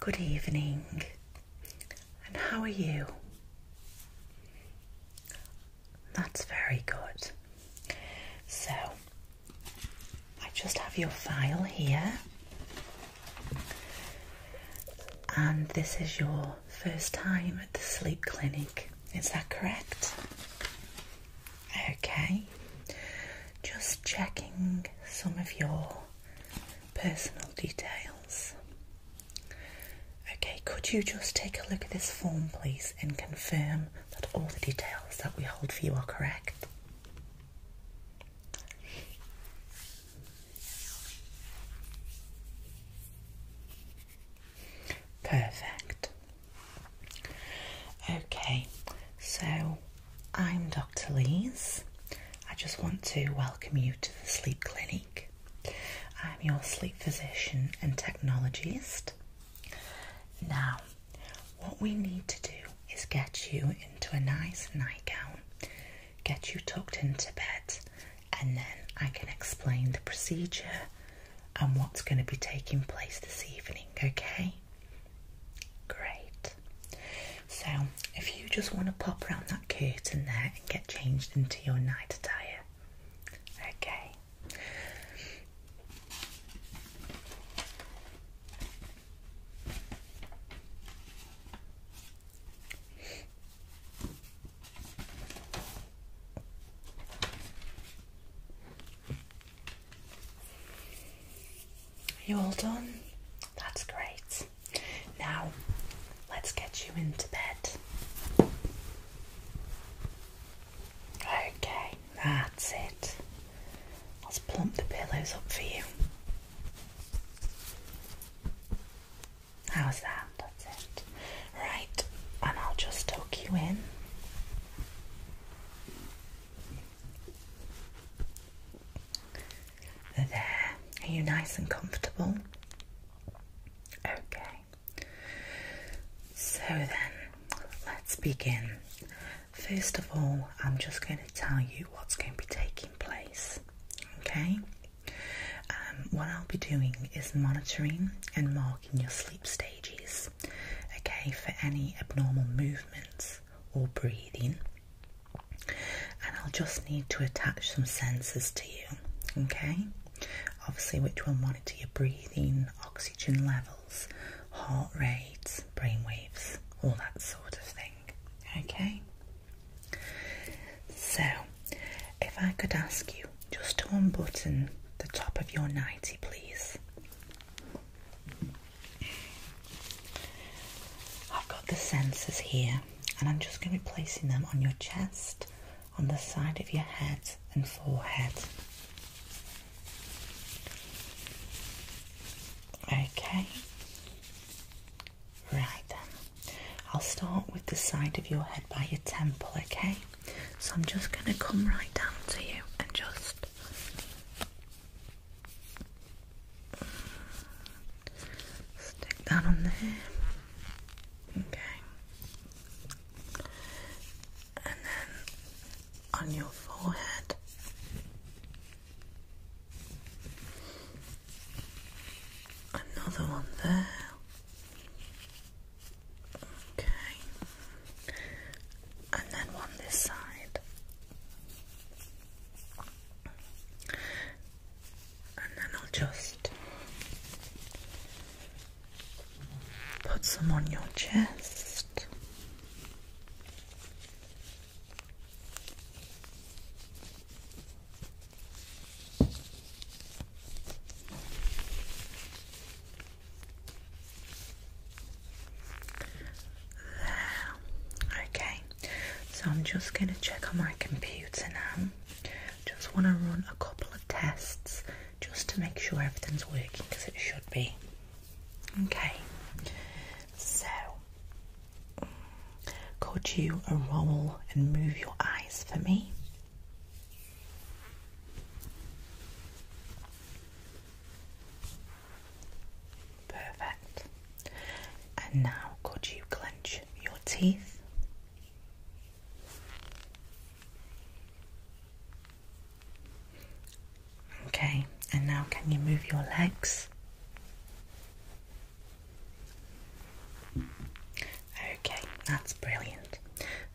Good evening, and how are you? That's very good. So, I just have your file here, and this is your first time at the sleep clinic, is that correct? Okay, just checking some of your personal details. Okay, could you just take a look at this form, please, and confirm that all the details that we hold for you are correct? Perfect. Okay, so I'm Dr. Lees. I just want to welcome you to the Sleep Clinic. I'm your sleep physician and technologist. Now, what we need to do is get you into a nice nightgown, get you tucked into bed, and then I can explain the procedure and what's going to be taking place this evening, okay? Great. So, if you just want to pop around that curtain there and get changed into your night attire, okay. Are you all done? That's great. Now, let's get you into bed. Okay, that's it. Let's plump the pillows up for you. How's that? That's it. Right, and I'll just tuck you in. There, are you nice and comfortable? Okay, so then let's begin. First of all, I'm just going to tell you what's going to be taking place. Okay, um, what I'll be doing is monitoring and marking logging your sleep stages, okay, for any abnormal movements or breathing. And I'll just need to attach some sensors to you, okay? Obviously, which will monitor your breathing, oxygen levels, heart rates, brain waves, all that sort of thing, okay? So, if I could ask you just to unbutton the top of your nightie, please. I've got the sensors here, and I'm just going to be placing them on your chest, on the side of your head, and forehead. Okay, right then. I'll start with the side of your head by your temple, okay? So I'm just going to come right down to you and just stick that on there. Okay. And then on your forehead. Another one there. Okay. And then one this side. And then I'll just put some on your chest. There. Okay, so I'm just going to check on my computer now. Just want to run a couple of tests just to make sure everything's working because it should be. Okay, so could you roll and move your eyes for me? Perfect. And now, could you clench your teeth? Okay, and now can you move your legs? Okay, that's brilliant.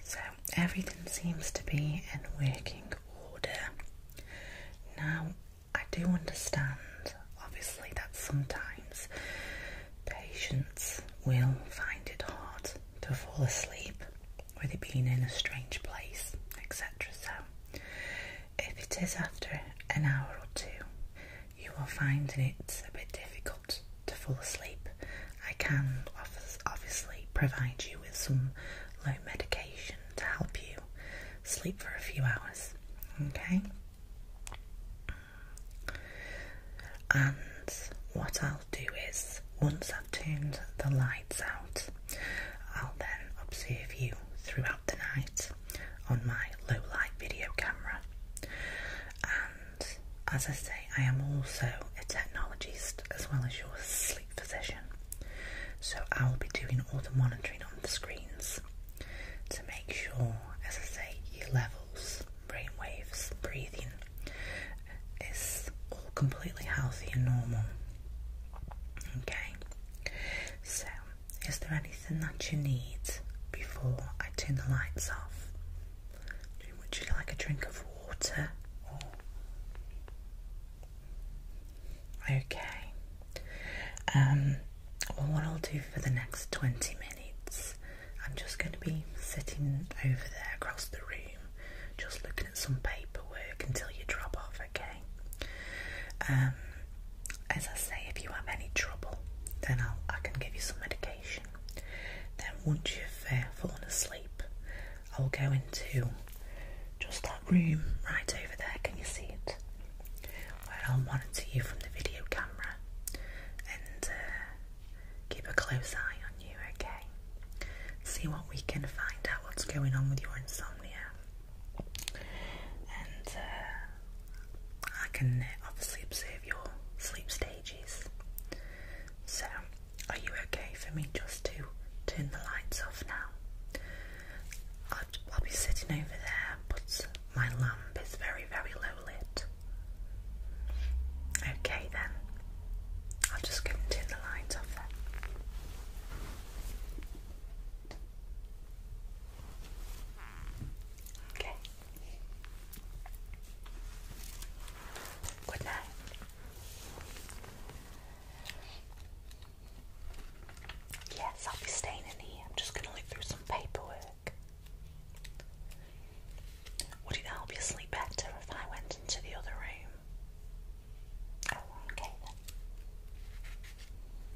So everything seems to be in working order. Now, I do understand obviously that sometimes patients will find it hard to fall asleep with it being in a strange place, etc. So, if it is after an hour or two, you are finding it a bit difficult to fall asleep. I can obviously provide you with some low medication to help you sleep for a few hours, okay? And what I'll do is, once I've turned the lights out, I'll then observe you throughout the night on my low light video camera as I say, I am also a technologist as well as your sleep physician. So I'll be doing all the monitoring on the screens to make sure, as I say, your levels, brain waves, breathing is all completely healthy and normal. Okay. So, is there anything that you need before I turn the lights off? Would you like a drink of water? Okay. Um, well, what I'll do for the next 20 minutes, I'm just going to be sitting over there across the room, just looking at some paperwork until you drop off, okay? Um, as I say, if you have any trouble, then I'll, I can give you some medication. Then, once you've uh, fallen asleep, I'll go into just that room right over there. Can you see it? Where I'll monitor you from the video camera and uh, keep a close eye on you, okay? See what we can find out what's going on with your insomnia. And uh, I can uh, obviously observe your sleep stages. So, are you okay for me just to turn the lights off now? I'll, be sitting over there, but my lamp is very, very low lit. Okay, then. I'll just go and turn the lights off then. Okay. Good night. Yes, I'll be staying in here. I'm just going to look through some paperwork. Would it help you sleep better if I went into the other room? Oh, okay then.